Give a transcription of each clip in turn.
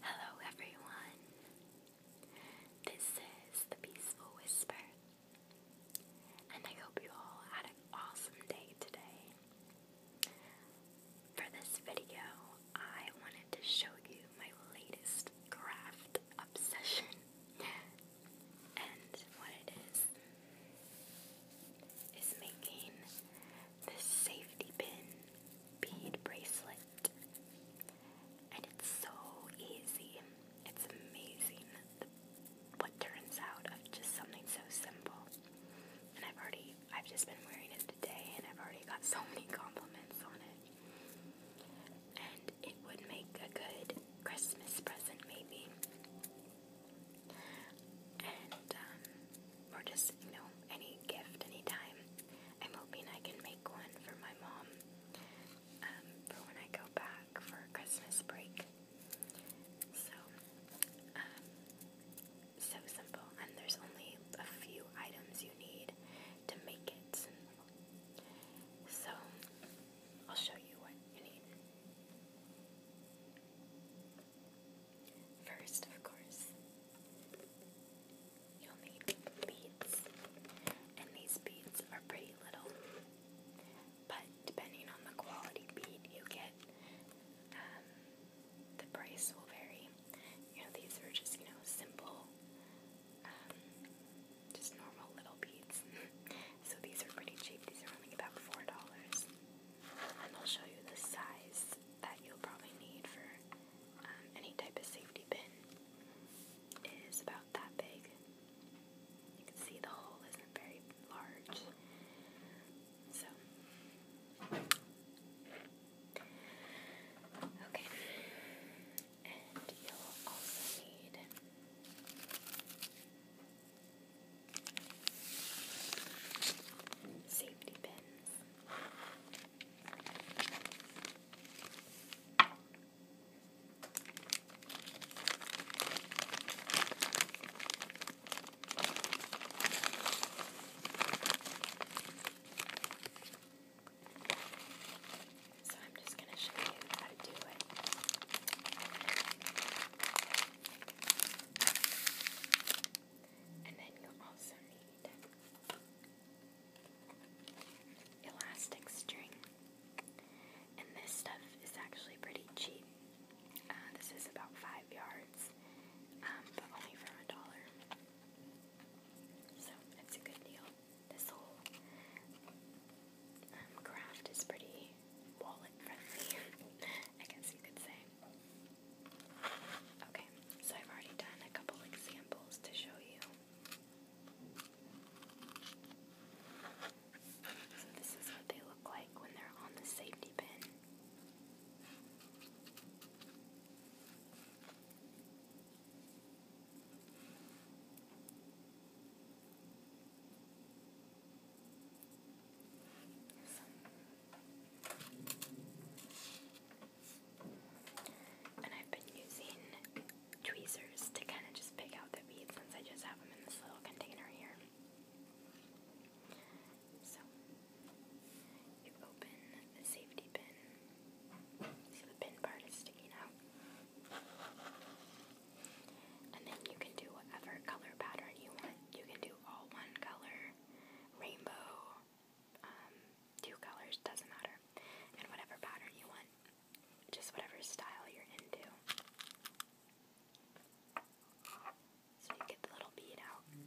Hello, everyone. This is the Peaceful Whisper, and I hope you all had an awesome day today. For this video, I wanted to show you my latest craft obsession and what it is is making this safety pin bead bracelet. And it's so easy. It's amazing what turns out of just something so simple. And I've already, I've just been wearing it today and I've already got so many compliments on it. And it would make a good Christmas present, maybe. Um, or just, you know, any gift, anytime. I'm hoping I can make one for my mom um, for when I go back for Christmas break. So, um, so simple. And there's only a few items you need to make it. So, I'll show you what you need. First, of course, you'll need beads, and these beads are pretty little, but depending on the quality bead you get, um, the price will vary. these are just, you know, simple, um, just normal little beads. so these are pretty cheap. These are only about four dollars and they'll show you the size that you'll probably need for um, any type of safety bin. It is about that big. You can see the hole isn't very large. So, okay, and you'll also need. Safety pins. So I'm just going to show you how to do it. And then you also need elastic string. And this stuff is actually pretty cheap. Uh, this is about five yards, um, but only for a dollar. So it's a good deal. This whole um, craft is pretty wallet friendly, I guess you could say. Okay, so I've already done a couple examples to show you. So this is what they look like when they're on the safety pin. And I've been using tweezers to kind of just pick out the beads since I just have them in this little container here. So, you open the safety pin. See, the pin part is sticking out. And then you can do whatever color pattern you want you can do all one color, rainbow, um, two colors, doesn't matter, and whatever pattern you want, just whatever style you're into. So you get the little bead out and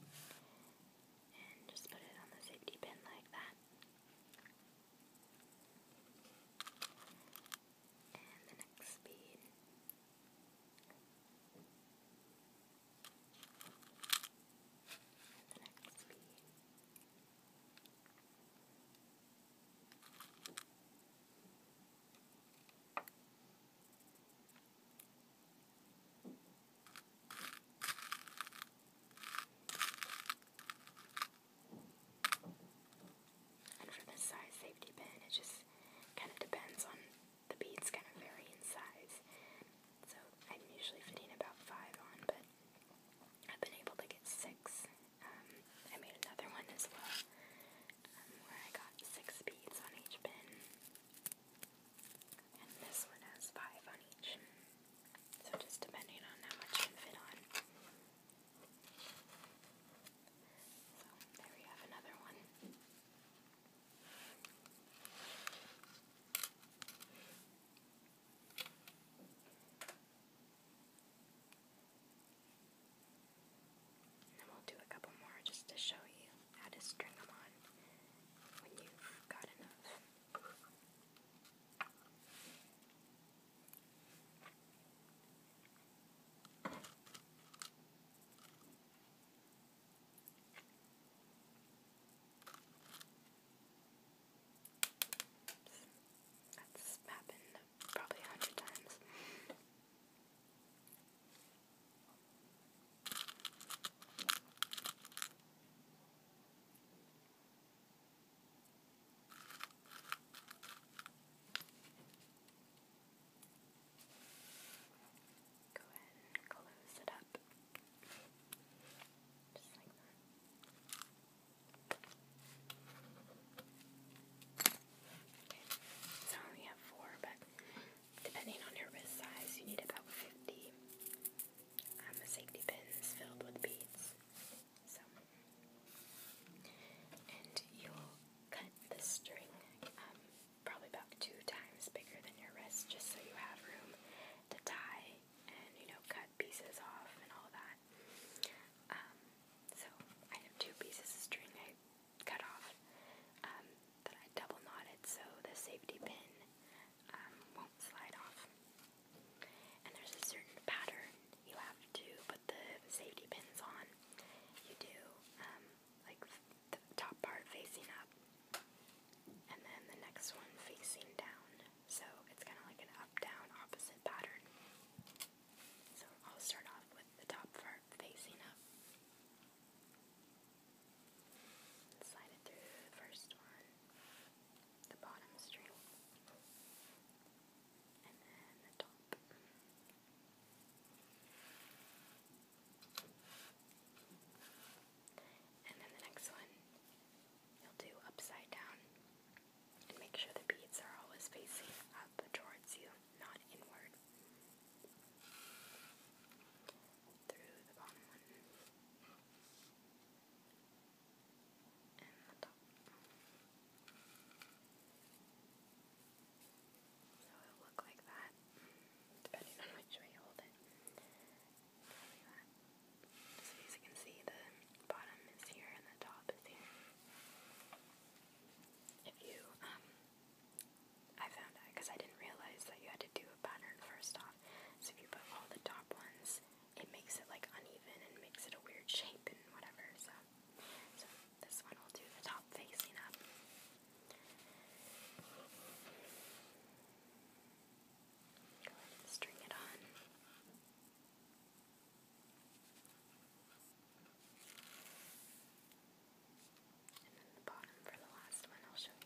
just put it on the safety pin like that. And the next bead this size safety pin, it just kind of depends on the beads kind of vary in size. So I'm usually fitting about five on, but I've been able to get six. Um, I made another one as well, um, where I got six beads on each pin. And this one has five on each. So just depending on how much you can fit on. So there we have another one. And we'll do a couple more just to show you how to string them on when you've got enough. That's happened probably a hundred times. Go ahead and close it up. Just like that. so I have four, but depending on your wrist size, you need about 50 um, safety pins filled with beads. So, and you'll cut the string um, probably about two times bigger than your wrist just so you have room to tie and, you know, cut pieces off and all that. Um, so I have two pieces of string I cut off um, that I double knotted so the safety pin won't slide off. And there's a certain pattern you have to the safety pins on, you do um, like the top part facing up, and then the next one facing down. So it's kind of like an up-down opposite pattern. So I'll start off with the top part facing up. Slide it through the first one, the bottom string, and then the top. And then the next one, you'll do upside down. make sure the beads are always facing up towards you, not inward. Through the bottom one. And the top. So it'll look like that, depending on which way you hold it. Like that. So you can see, the bottom is here and the top is here. If you, um, I found out because I didn't realize that you had to do a pattern first off. So if you put all the top ones, it makes it like uneven and makes it a weird shape and whatever. so this one will do the top facing up. string it on. And then the bottom for the last one, I'll show you.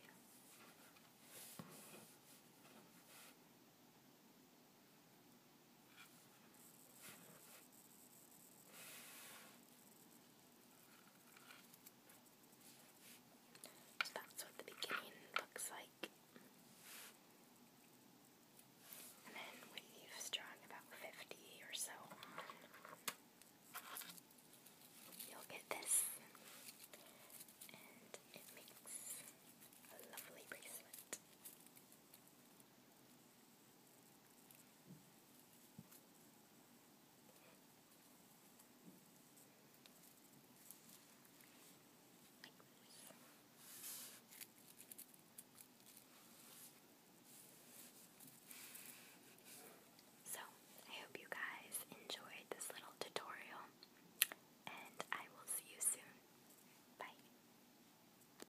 So that's what the beginning looks like. And then we leave strong about 50 or so You'll get this. And it makes a lovely bracelet. So, I hope you guys enjoyed this little tutorial, and I will see you soon. Bye.